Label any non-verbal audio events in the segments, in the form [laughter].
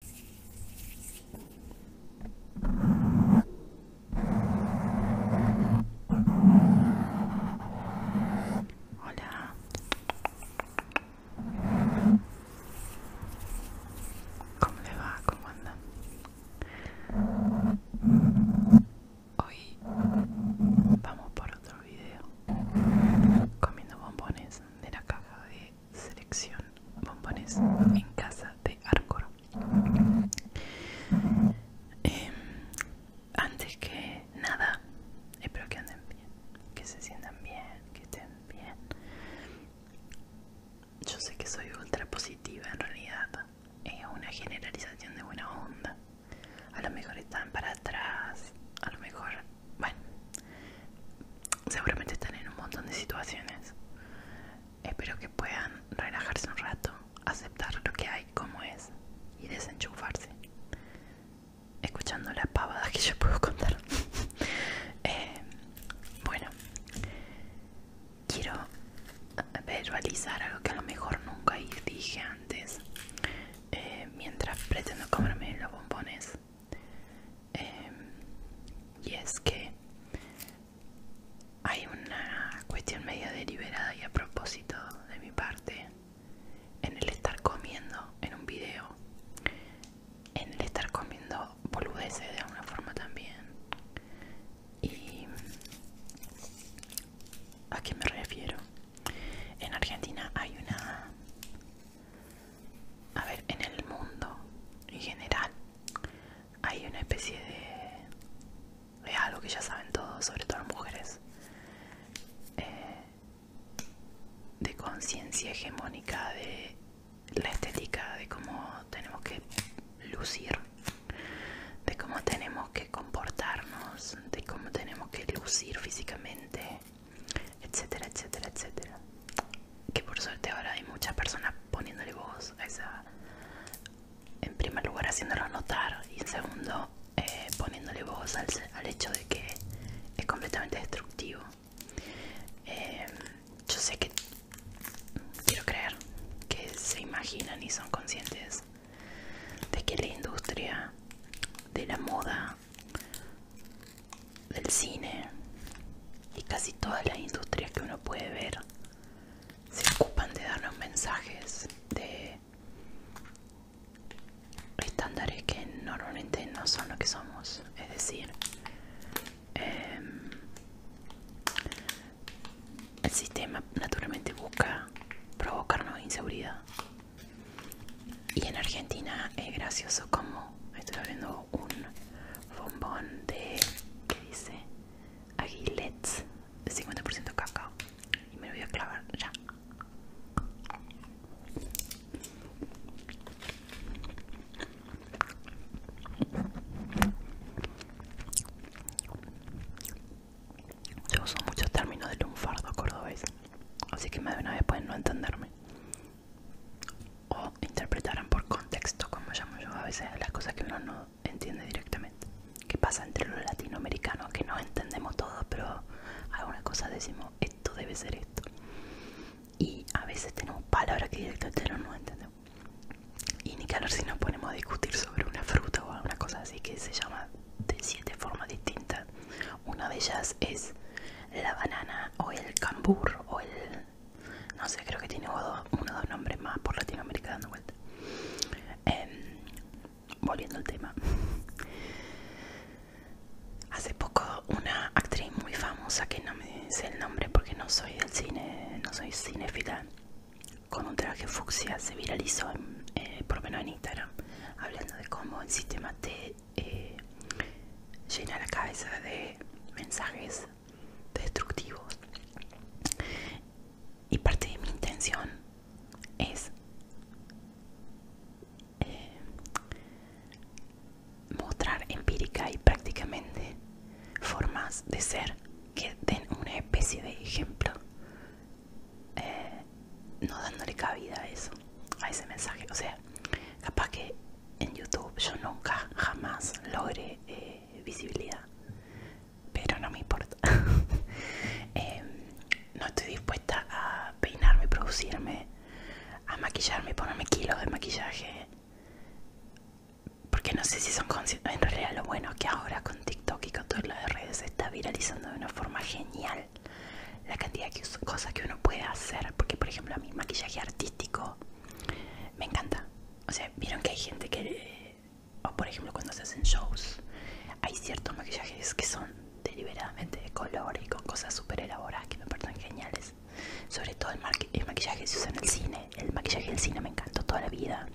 Hola. ¿Cómo le va? ¿Cómo anda? Hoy vamos por otro video comiendo bombones de la caja de selección bombones en casa de Arcor. Em, antes que nada, espero que anden bien, que se sientan bien, que estén bien. Yo sé que soy ultra positiva en realidad, es una generalización de buena onda. A lo mejor están para atrás, a lo mejor bueno, seguramente están en un montón de situaciones. Espero que puedan relajarse un rato, aceptar lo que hay como es y desenchufarse. Escuchando las pavadas que yo puedo contar. [laughs] Eh, bueno, quiero verbalizar algo que a lo mejor nunca dije antes. Eh, mientras pretendo comerme los bombones Em, y es que hay una cuestión media deliberada y a propósito de mi parte en el estar comiendo en un video, en el estar comiendo boludeces de alguna forma también. ¿Y a qué me refiero? En Argentina hay una a ver, en el mundo en general hay una especie de, de algo que ya saben todos, sobre todo las mujeres, eh, de conciencia hegemónica de la estética, de cómo tenemos que lucir, de cómo tenemos que comportarnos, de cómo tenemos que lucir físicamente etcétera, etcétera, etcétera. Que por suerte ahora hay muchas personas poniéndole voz a esa. En primer lugar, haciéndolo notar y en segundo, eh, poniéndole voz al, hecho de que es completamente destructivo. Eh, yo sé que quiero creer que se imaginan y son conscientes de que la industria de la moda del cine y casi todas las industrias que uno puede ver se ocupan de darnos mensajes de estándares que normalmente no son lo que somos, es decir, em, el sistema naturalmente busca provocarnos inseguridad y en Argentina es gracioso como estoy abriendo un bombón de, ¿qué dice? Aguilets, 50% cacao. Y me lo voy a clavar ya. Yo uso muchos términos de lunfardo cordobés, así que más de una vez pueden no entenderme o interpretarán por contexto, como llamo yo a veces las cosas que uno no entiende directamente. ¿Qué pasa entre los latinoamericanos que no entendemos todo, pero alguna cosa decimos esto debe ser esto? Y a veces tenemos palabras que directamente no entendemos. Y ni que si nos ponemos a discutir sobre una fruta o alguna cosa así que se llama de siete formas distintas. Una de ellas es la banana o el cambur o el... no sé, creo que tiene uno, o dos nombres más por Latinoamérica dando vuelta. Em, volviendo al tema. Hace poco una actriz muy famosa, que no me sé el nombre porque no soy del cine, no soy cinéfila, con un traje fucsia se viralizó, eh, por lo menos en Instagram, hablando de cómo el sistema T eh, llena la cabeza de mensajes destructivos. Y parte de mi intención es eh, mostrar empírica y prácticamente formas de ser que den una especie de ejemplo eh, no dándole cabida a eso, a ese mensaje. O sea, capaz que en YouTube yo nunca, jamás logré eh, visibilidad, pero no me importa. [laughs] Em, no estoy dispuesta a peinarme, producirme, a maquillarme, ponerme kilos de maquillaje. Porque no sé si son conscientes. En realidad, lo bueno es que ahora con TikTok y con todas las redes se está viralizando de una forma genial la cantidad de cosas que uno puede hacer, porque por ejemplo a mi maquillaje artístico me encanta, o sea, vieron que hay gente que, o por ejemplo cuando se hacen shows, hay ciertos maquillajes que son deliberadamente de color y con cosas súper elaboradas que me parecen geniales, sobre todo el, maquillaje que se usa en el cine, el maquillaje del cine me encantó toda la vida,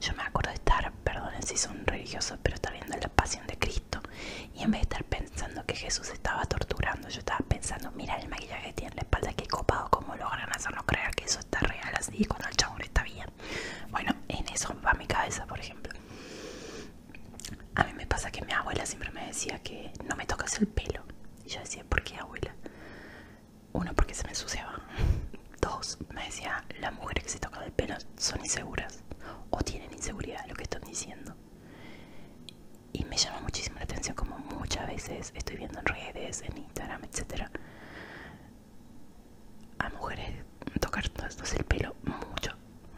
yo me acuerdo de estar, perdonen si son religiosos, pero estar viendo la pasión de Cristo y en vez de estar pensando que Jesús estaba torturando, yo estaba pensando, mira el maquillaje que tiene en la espalda, qué copado, cómo logran hacernos creer que eso está real así, cuando el chabón está bien. Bueno, en eso va mi cabeza, por ejemplo. A mí me pasa que mi abuela siempre me decía que no me tocas el pelo. Y yo decía, ¿por qué abuela? Uno, porque se me ensuciaba. [laughs] Dos, me decía, las mujeres que se tocan el pelo son inseguras o tienen inseguridad, lo que están diciendo y me llama muchísimo la atención como muchas veces estoy viendo en redes, en Instagram, etcétera a mujeres tocarnos el pelo mucho,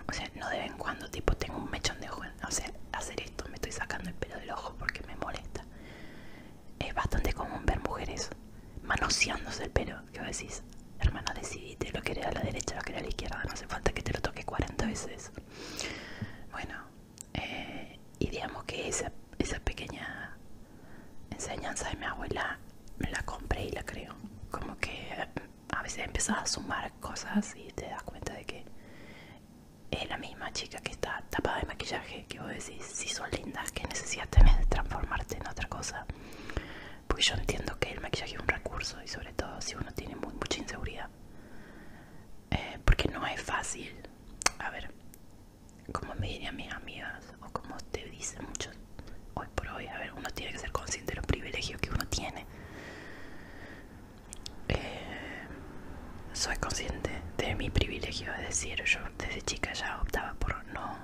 o sea, no de vez en cuando, tipo tengo un mechón de ojo, o sea, hacer esto, me estoy sacando el pelo del ojo porque me molesta. Es bastante común ver mujeres manoseándose el pelo, que vos decís, Hermana decidiste, lo querés a la derecha, lo querés a la izquierda, no hace falta que te lo toque 40 veces. Bueno, eh, y digamos que esa, pequeña enseñanza de mi abuela me la compré y la creo. Como que eh, a veces empezás a sumar cosas y te das cuenta de que es la misma chica que está tapada de maquillaje que vos decís, si son lindas, que necesidad transformarte en otra cosa. Porque yo entiendo que el maquillaje es un recurso y sobre todo si uno tiene muy, mucha inseguridad. Eh, porque no es fácil. A ver, como me dirían mis amigas o como te dicen muchos hoy por hoy, a ver, uno tiene que ser consciente de los privilegios que uno tiene. Eh, soy consciente de mi privilegio, es decir, yo desde chica ya optaba por no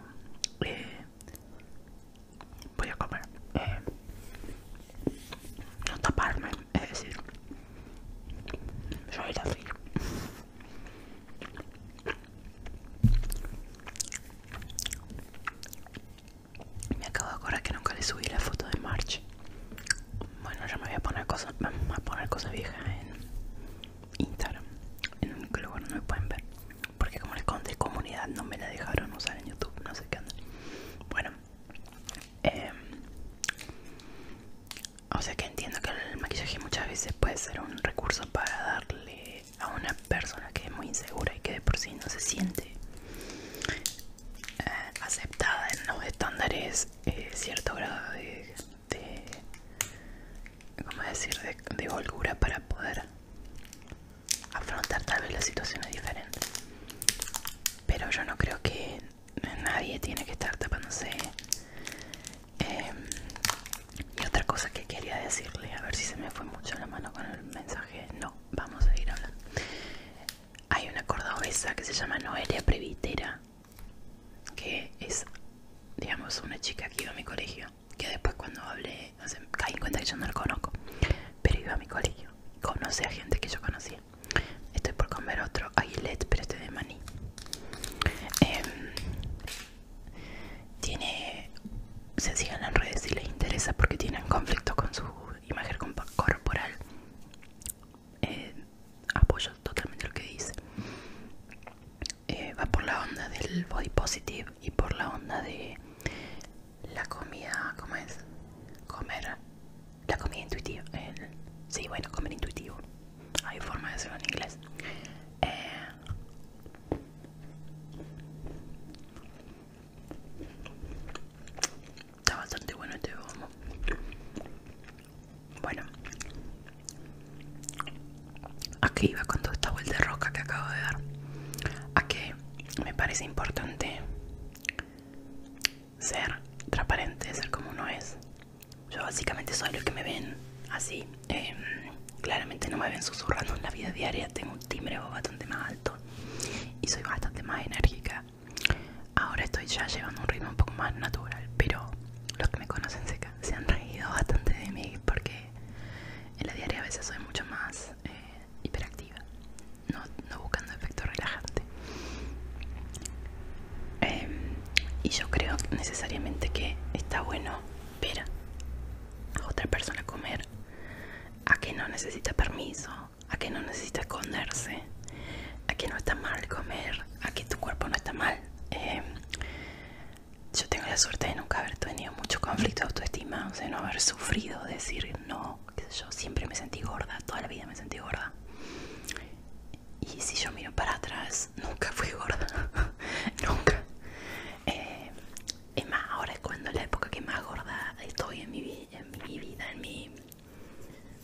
eh, voy a comer eh, no taparme es decir soy frío. me acabo de acordar que nunca le subí la foto de March bueno yo me voy a poner cosas a poner cosas viejas en Instagram en un lugar no me pueden ver porque como les conté comunidad no me la dejaron usar en YouTube no sé qué onda bueno em, o sea que entiendo que el maquillaje muchas veces puede ser un recurso para darle a una persona que es muy insegura y que de por sí no se siente eh, aceptada en los estándares eh, cierto grado de, ¿cómo decir? De, de holgura para poder afrontar tal vez las situaciones diferentes. Pero yo no creo que nadie tiene que estar tapándose. Em, y otra cosa que quería decirle, a ver si se me fue mucho la mano con el mensaje. No, vamos a ir hablando. Hay una cordobesa que se llama Noelia Previtera, que es, digamos, una chica que iba a mi colegio que después cuando hablé caí en cuenta que yo no lo conozco pero iba a mi colegio conoce a gente que yo conocía estoy por comer otro aguilet pero este de maní em, tiene se siguen en redes y les interesa porque tienen conflicto con su imagen corporal eh, apoyo totalmente lo que dice eh, va por la onda del body positive y por la onda de la comida, ¿cómo es? Comer, la comida intuitiva. sí, bueno, comer intuitivo. Hay forma de hacerlo en inglés. Eh, está bastante bueno este bombo. Bueno, a Aquí iba con toda esta vuelta de roca que acabo de dar. A que me parece importante ser transparente, ser como uno es. Yo básicamente soy lo que me ven así. Em, claramente no me ven susurrando en la vida diaria. Tengo un timbre bastante más alto y soy bastante más enérgica. Ahora estoy ya llevando un ritmo un poco más natural, pero los que me conocen se han reído bastante de mí porque en la diaria a veces soy mucho más eh, hiperactiva, no, buscando efecto relajante. Em, y yo creo necesariamente que está bueno ver a otra persona comer, a que no necesita permiso, a que no necesita esconderse, a que no está mal comer, a que tu cuerpo no está mal. Em, yo tengo la suerte de nunca haber tenido mucho conflicto de autoestima, o sea, no haber sufrido decir no, yo, siempre me sentí gorda, toda la vida me sentí gorda. Y si yo miro para atrás, nunca fui gorda, [laughs] nunca. Eh, es más, ahora es cuando la época que más gorda estoy en mi, en mi vida, en mi,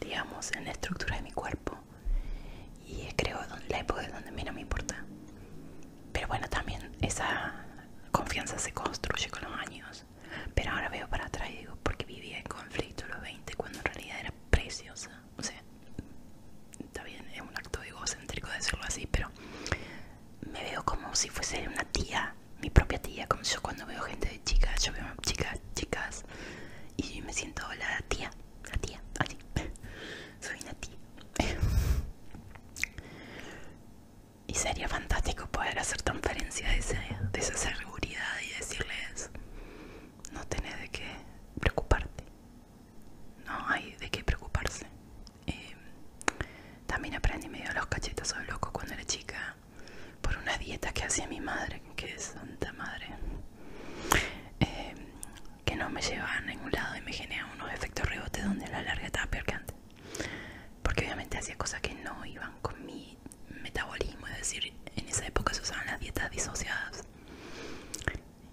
digamos, en la estructura de mi cuerpo. Y creo la época es donde menos me importa. Pero bueno, también esa confianza se construye con los años. Pero ahora veo para atrás digo, porque vivía en conflicto los 20 cuando en realidad era preciosa. O sea, está bien, es un acto egocéntrico decirlo así, pero me veo como si fuese una tía, mi propia tía, como yo cuando veo gente de chicas, yo veo chicas, chicas, y me siento la tía, la tía, así soy Nati. [laughs] y sería fantástico poder hacer transferencia de esa, seguridad y decirles, no tenés de qué preocuparte. No hay de qué preocuparse. Em, también aprendí medio los cachetazos loco cuando era chica por una dieta que hacía mi madre, que es santa madre. Em, que no me llevaban a ningún lado y me genera unos efectos rebote donde a la larga estaba peor que antes. Porque obviamente hacía cosas que no iban con mi metabolismo, es decir, en esa época se usaban las dietas disociadas.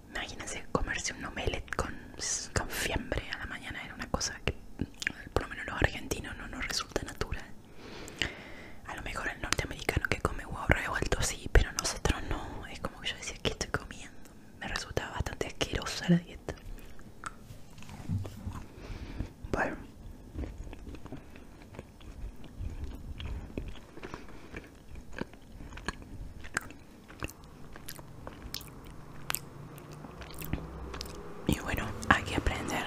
Imagínense comerse un omelette con, con fiambre a la mañana, era una cosa que por lo menos los argentinos no nos resulta natural. A lo mejor el norteamericano que come huevos alto sí, pero nosotros no. Es como que yo decía, ¿qué estoy comiendo? me resulta bastante asquerosa la dieta. Bueno. Y bueno, hay que aprender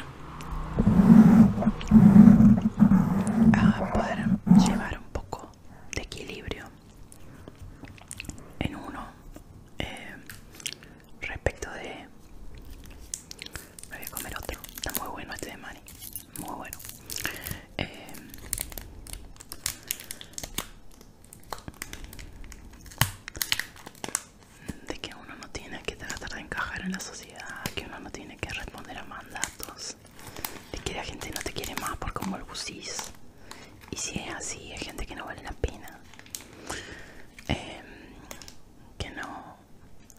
a poder llevar un poco de equilibrio en uno eh, respecto de me voy a comer otro está muy bueno este de mani muy bueno eh, de que uno no tiene que tratar de encajar en la sociedad que uno no tiene que responder a mandatos de que la gente no te quiere más por cómo usís y si es así, hay gente que no vale la pena. Em, que no.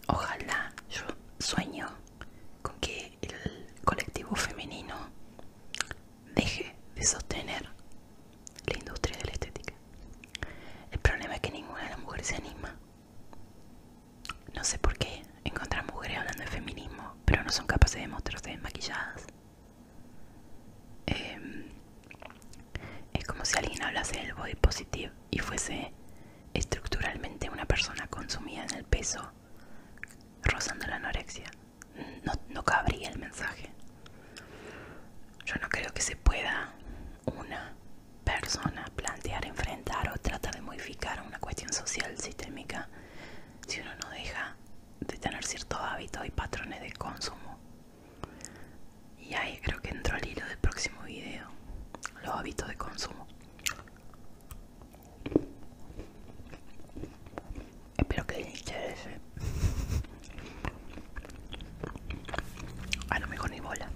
Ojalá yo sueño con que el colectivo femenino deje de sostener la industria de la estética. El problema es que ninguna de las mujeres se anima. No sé por qué encontrar mujeres hablando de feminismo, pero no son capaces de mostrarse desmaquilladas. Em, es como si alguien hablase del body positive y fuese estructuralmente una persona consumida en el peso, rozando la anorexia. No, no cabría el mensaje. Yo no creo que se pueda una persona plantear, enfrentar o tratar de modificar una cuestión social sistémica si uno no deja de tener ciertos hábitos y patrones de consumo. Y ahí creo que entró el hilo del próximo video, los hábitos de consumo. Espero que les interese. A lo mejor ni bola.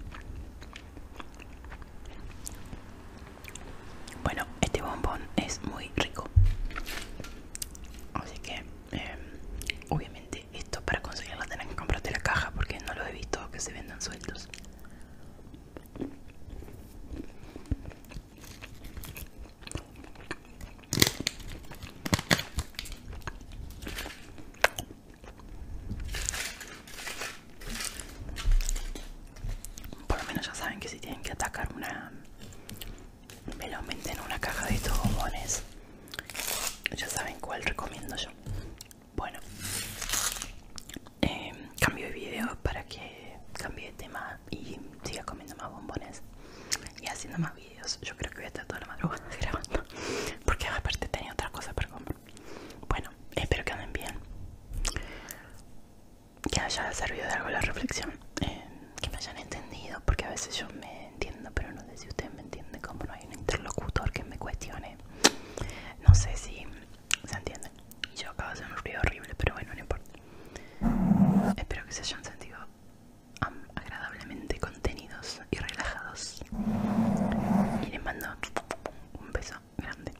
Bueno, este bombón es muy rico. Así que, em, obviamente, esto para conseguirlo tenés que comprarte la caja porque no lo he visto que se vendan sueltos. Por lo menos ya saben que si tienen que atacar una me lo meten en una caja de estos bombones. Ya saben cuál recomiendo yo. Bueno, em, cambio de video para que cambie de tema y siga comiendo más bombones y haciendo más videos. Yo creo que voy a estar toda la madrugada [laughs] grabando porque aparte tenía otras cosas para comer. Bueno, espero que anden bien que haya servido de algo la reflexión, eh, que me hayan entendido, porque a veces yo me entiendo, pero no sé si ustedes me entienden, como no hay un interlocutor que me cuestione, no sé si se entienden. Yo acabo de hacer un ruido horrible, pero bueno, no importa. Espero que se hayan sentido agradablemente contenidos y relajados. Y les mando un beso grande.